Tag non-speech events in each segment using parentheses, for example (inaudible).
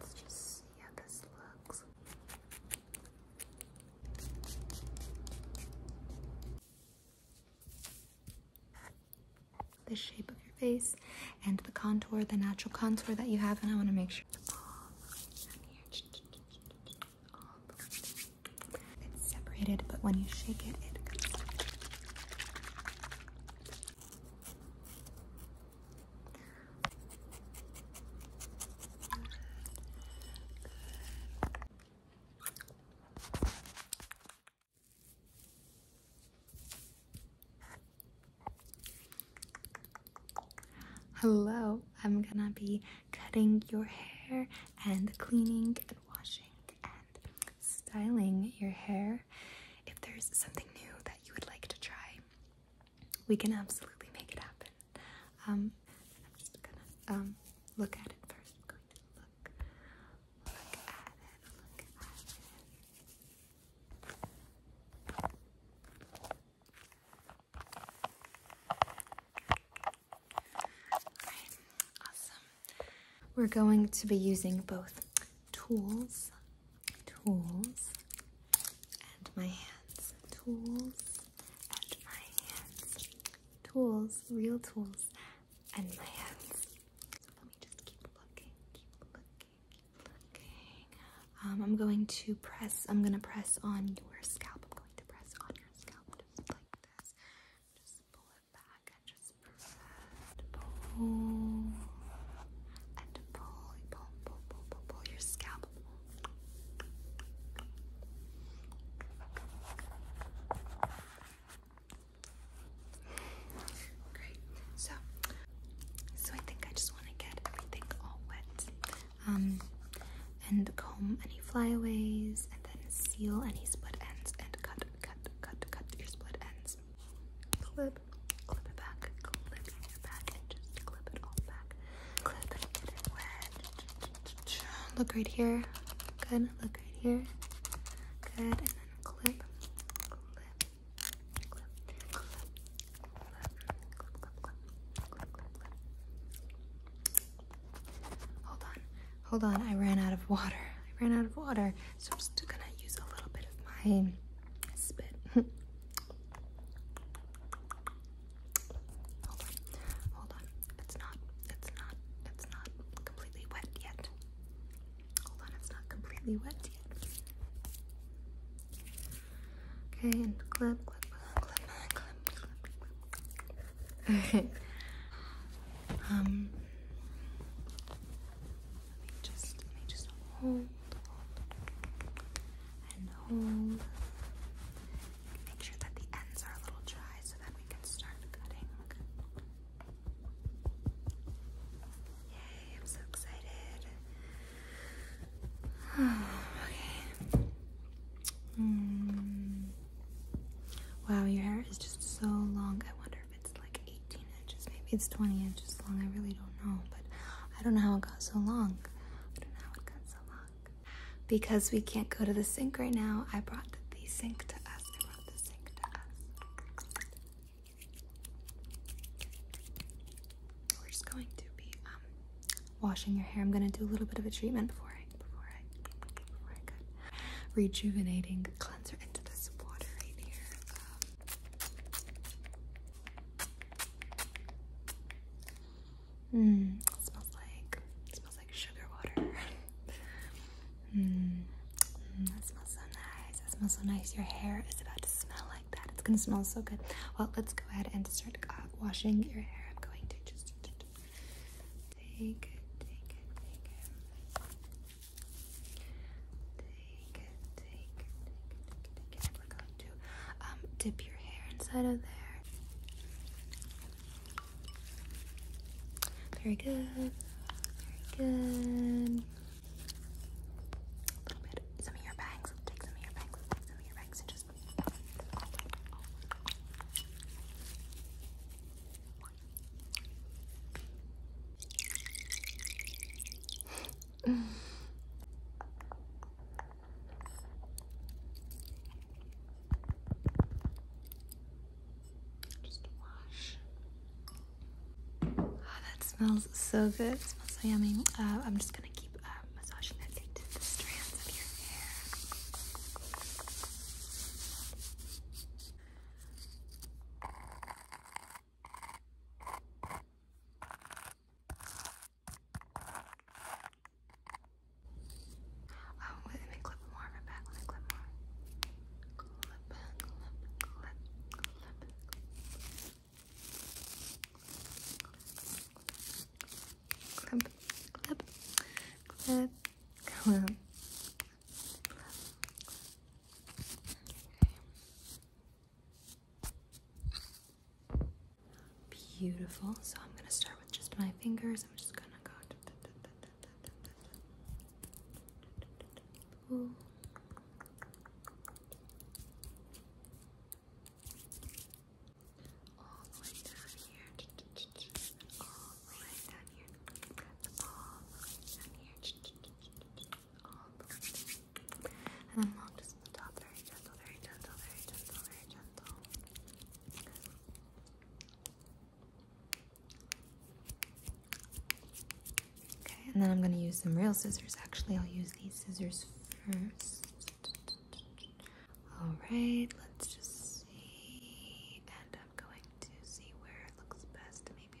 Let's just see how this looks. The shape of your face and the contour, the natural contour that you have, and I want to make sure it's separated, but when you shake it, it Hello, I'm gonna be cutting your hair and cleaning and washing and styling your hair. If there's something new that you would like to try, we can absolutely make it happen. Um, I'm just gonna um, look at it 1st look, look at it, awesome. We're going to be using both tools tools and my hands. Tools and my hands. Tools, real tools and my hands. let me just keep looking, keep looking, keep looking. Um, I'm going to press, I'm going to press on your scalp. I'm going to press on your scalp just like this. Just pull it back and just press. And pull. And pull, pull, pull, pull, pull, your scalp. Great. So, so I think I just want to get everything all wet, um, and comb any flyaways, and then seal any split ends, and cut, cut, cut, cut your split ends. Clip, clip it back, clip it back, and just clip it all back. Clip it, get it wet. Look right here. Good. Look right here. Good. And then clip, clip, clip, clip, clip, clip, clip, clip, clip, clip. Hold on. Hold on. I ran out of water. I ran out of water. So I'm just gonna use a little bit of my Spit. hold (laughs) on. Hold on. It's not, it's not, it's not completely wet yet. Hold on, it's not completely wet yet. Okay, (laughs) um let me just, let me just hold, hold, hold. Make sure that the ends are a little dry so that we can start cutting. Yay, I'm so excited. (sighs) okay. Hmm. Wow, your hair is just so long. I wonder it's like 18 inches, maybe it's 20 inches long. I really don't know, but I don't know how it got so long. I don't know how it got so long. Because we can't go to the sink right now, I brought the sink to us. We're just going to be um, washing your hair. I'm gonna do a little bit of a treatment before I before I before I could rejuvenating cleanser into this water right here. Um, Mmm, smells like smells like sugar water. Mmm, (laughs) that smells so nice. That smells so nice. Your hair is about to smell like that. It's gonna smell so good. Well, let's go ahead and start washing your hair. I'm going to just take take take Take it, take it, take it, we're going to um, dip your hair inside of there. Very good. Very good. Some of your bangs. Take some of your bangs. some of your bangs just. Just wash. Oh, that smells so good. smells so yummy. Uh, I'm just gonna keep uh, massaging that into the strands of your hair. Um, wait, let me clip more of it back. Let me clip more. Clip, clip, clip, clip. Clip, clip, clip, clip. Beautiful. So I'm going to start with just my fingers. I'm just going to go. All the way down here. All the way down here. All the way down here and then along just the top, very gentle, very gentle, very gentle, very gentle. Okay, and then I'm going to use some real scissors. Actually, I'll use these scissors first. Alright, let's just see. And I'm going to see where it looks best. Maybe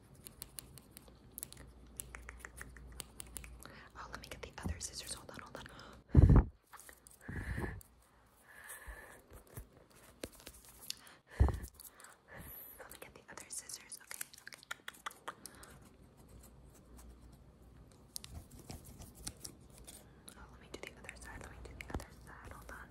Oh, let me get the other scissors. Hold on, hold on. Let me get the other scissors, okay? Okay. Oh, let me do the other side. Let me do the other side. Hold on.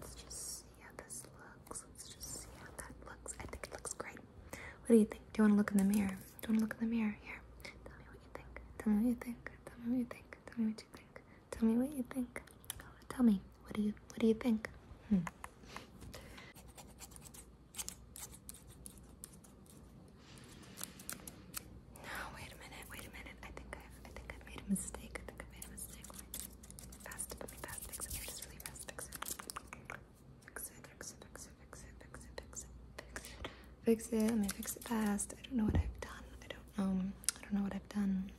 Let's just see how this looks. Let's just see how that looks. I think it looks great. What do you think? Do you want to look in the mirror? Do you want to look in the mirror? Here. Tell me what you think. Tell me what you think. Tell me what you think. Tell me what you think. Tell me what you think. tell me. What do you what do you think? Hmm. wait a minute, wait a minute. I think i I think i made a mistake. I think I made a mistake. Fast, fast fix it. Just really fast fix it. Fix it, fix it, fix it, fix it, fix it, fix it, fix it. Let me fix it fast. I don't know what I've done. I don't know. I don't know what I've done.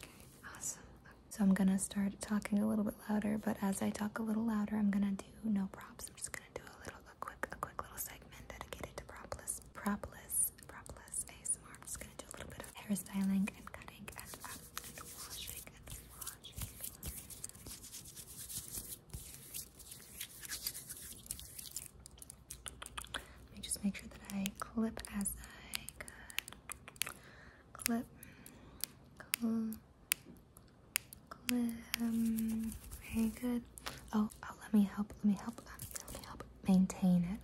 Okay, awesome. So I'm gonna start talking a little bit louder, but as I talk a little louder, I'm gonna do no props. I'm just gonna do a little, a quick, a quick little segment dedicated to propless, propless, propless ASMR. I'm just gonna do a little bit of hairstyling and cutting and, um, and washing and washing. Let me just make sure that I clip as I could clip, cl clip. Um, very good. Oh, oh, let me help. Let me help. Um, let me help maintain it.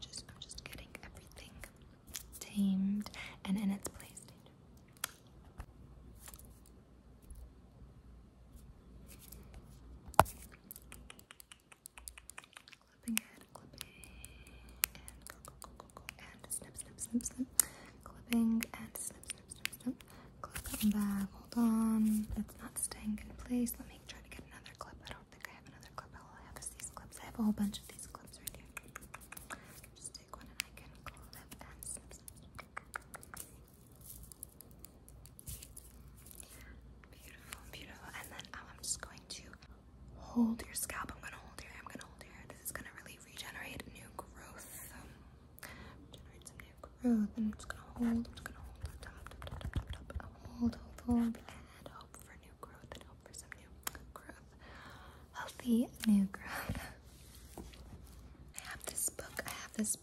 Just, I'm just getting everything tamed and in its place clipping it, clipping, and go, go, go, go, go, and snip, snip, snip, snip, clipping, and snip, snip, snip, snip, clip that back, hold on, it's not staying in place, let me try to get another clip, I don't think I have another clip, all I have is these clips, I have a whole bunch of these clips right here, just take one and I can clip and snip, snip, snip. Beautiful, beautiful. And then um, I'm just going to hold your scalp. I'm gonna hold your hair. I'm gonna hold your hair. This is gonna really regenerate new growth. Um, generate some new growth. And I'm just gonna hold. I'm just gonna hold. Top, top, top, top, top, top. Hold, hold, hold. And hope for new growth. And hope for some new growth. Healthy new growth. (laughs) I have this book. I have this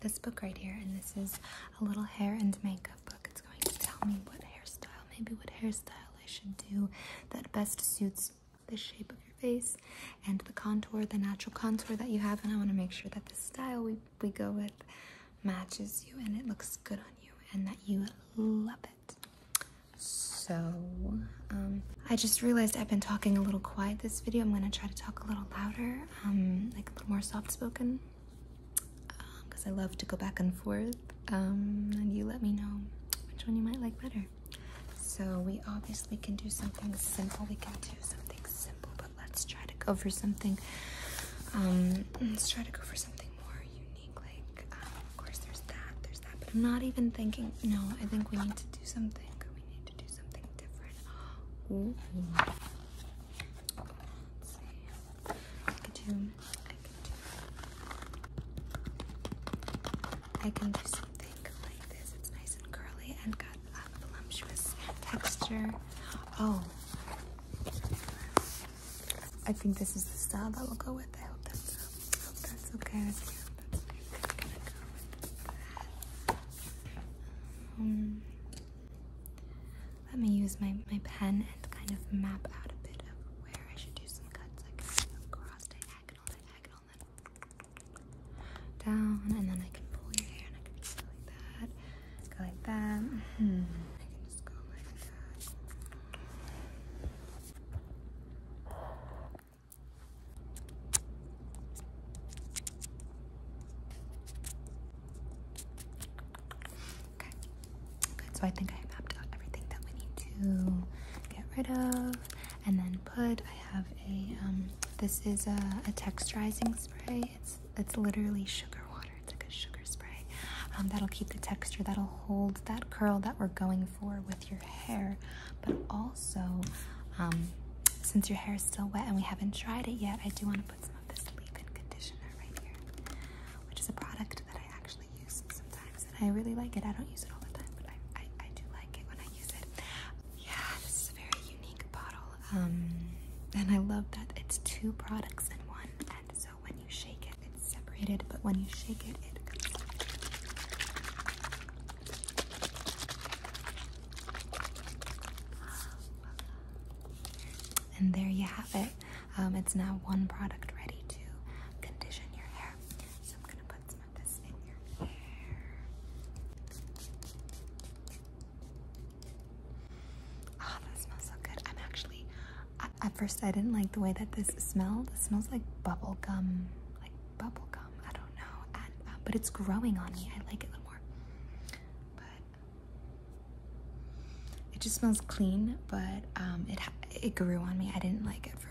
this book right here, and this is a little hair and makeup book. It's going to tell me what hairstyle, maybe what hairstyle I should do that best suits the shape of your face and the contour, the natural contour that you have. And I want to make sure that the style we, we go with matches you and it looks good on you and that you love it. So, um, I just realized I've been talking a little quiet this video. I'm going to try to talk a little louder, um, like a little more soft spoken because um, I love to go back and forth. Um, and you let me know which one you might like better. So we obviously can do something simple. We can do something simple, but let's try to go for something. Um, let's try to go for something more unique. Like, of course, there's that, there's that, but I'm not even thinking. No, I think we need to do something. We need to do something different. I can do something like this. It's nice and curly and got a voluptuous texture. Oh. I think this is the style that we'll go with. I hope that's, okay let me use my, my pen and kind of map out a bit of where I should do some cuts, like across diagonal, diagonal, down, and then I can pull your hair and I can just go like that, go like that. Mm-hmm. Okay. Good. So I think I mapped out everything that we need to get rid of, and then put. I have a. Um, this is a, texturizing spray. It's it's literally sugar water. It's like a sugar spray. Um, that'll keep the texture. That'll hold that curl that we're going for with your hair, but also. Um, since your hair is still wet and we haven't dried it yet, I do want to some of this leave-in conditioner right here, which is a product that I actually use sometimes, and I really like it. I don't use it all the time, but I, I, do like it when I use it. Yeah, this very unique bottle, um, and I love that it's two products in one, and so when you shake it, it's separated, but when you shake it, it comes and there you have it. Um, it's now one product ready to condition your hair. So I'm gonna put some of this in your hair. Ah, that smells so good. I'm actually, at first I didn't like the way that this smelled. It smells like bubble gum, like bubble gum. I don't know, um, but it's growing on me. I like it a little more. It just smells clean, but um, it it grew on me. I didn't like it for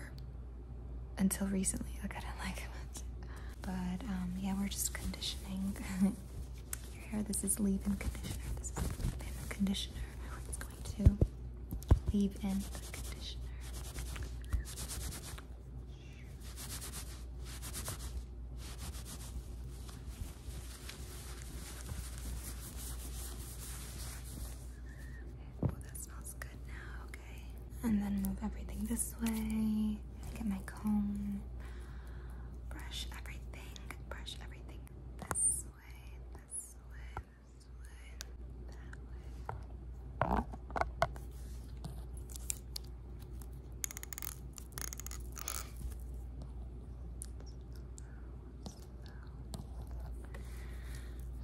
until recently. I didn't (laughs) like it But um, yeah, we're just conditioning (laughs) your hair. This is leave-in conditioner. This is leave-in conditioner. It's going to leave in conditioner. Oh, that smells good now, okay. And then move everything this way. Get my comb. Brush everything. Brush everything this way, this way, this way, that way.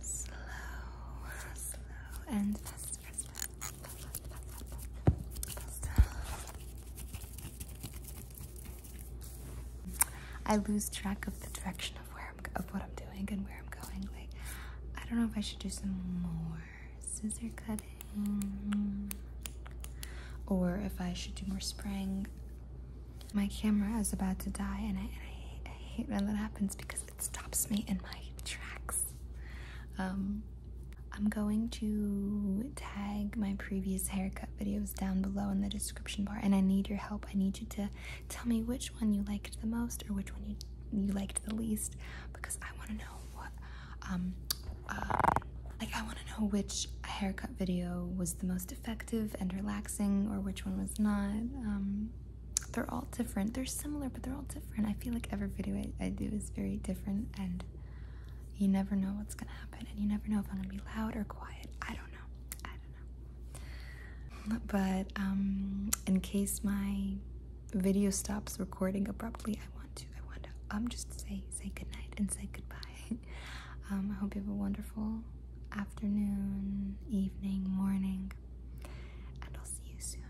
Slow, slow, and fast, fast, fast, fast, fast, fast, fast. I lose track of the direction of where I'm, of what I'm doing and where I'm going. Like, I don't know if I should do some more scissor cutting, or if I should do more spraying. My camera is about to die, and I, hate when that happens because it stops me in my tracks. Um, I'm going to tag my previous haircut videos down below in the description bar, and I need your help. I need you to tell me which one you liked the most or which one you, you liked the least because I want to know what um, uh, like I want to know which haircut video was the most effective and relaxing, or which one was not. Um, they're all different. They're similar, but they're all different. I feel like every video I do is very different, and you never know what's gonna happen, and you never know if I'm gonna be loud or quiet. I don't know. I don't know. But um, in case my video stops recording abruptly, I want to, I want to, I'm um, just say, say goodnight and say goodbye. (laughs) um, I hope you have a wonderful afternoon, evening, morning, and I'll see you soon.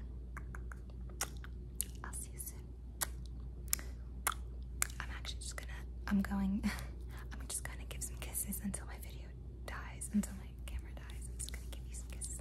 I'll see you soon. I'm actually just gonna, I'm going, (laughs) I'm just gonna give some kisses until my video dies, until my camera dies. I'm just gonna give you some kisses.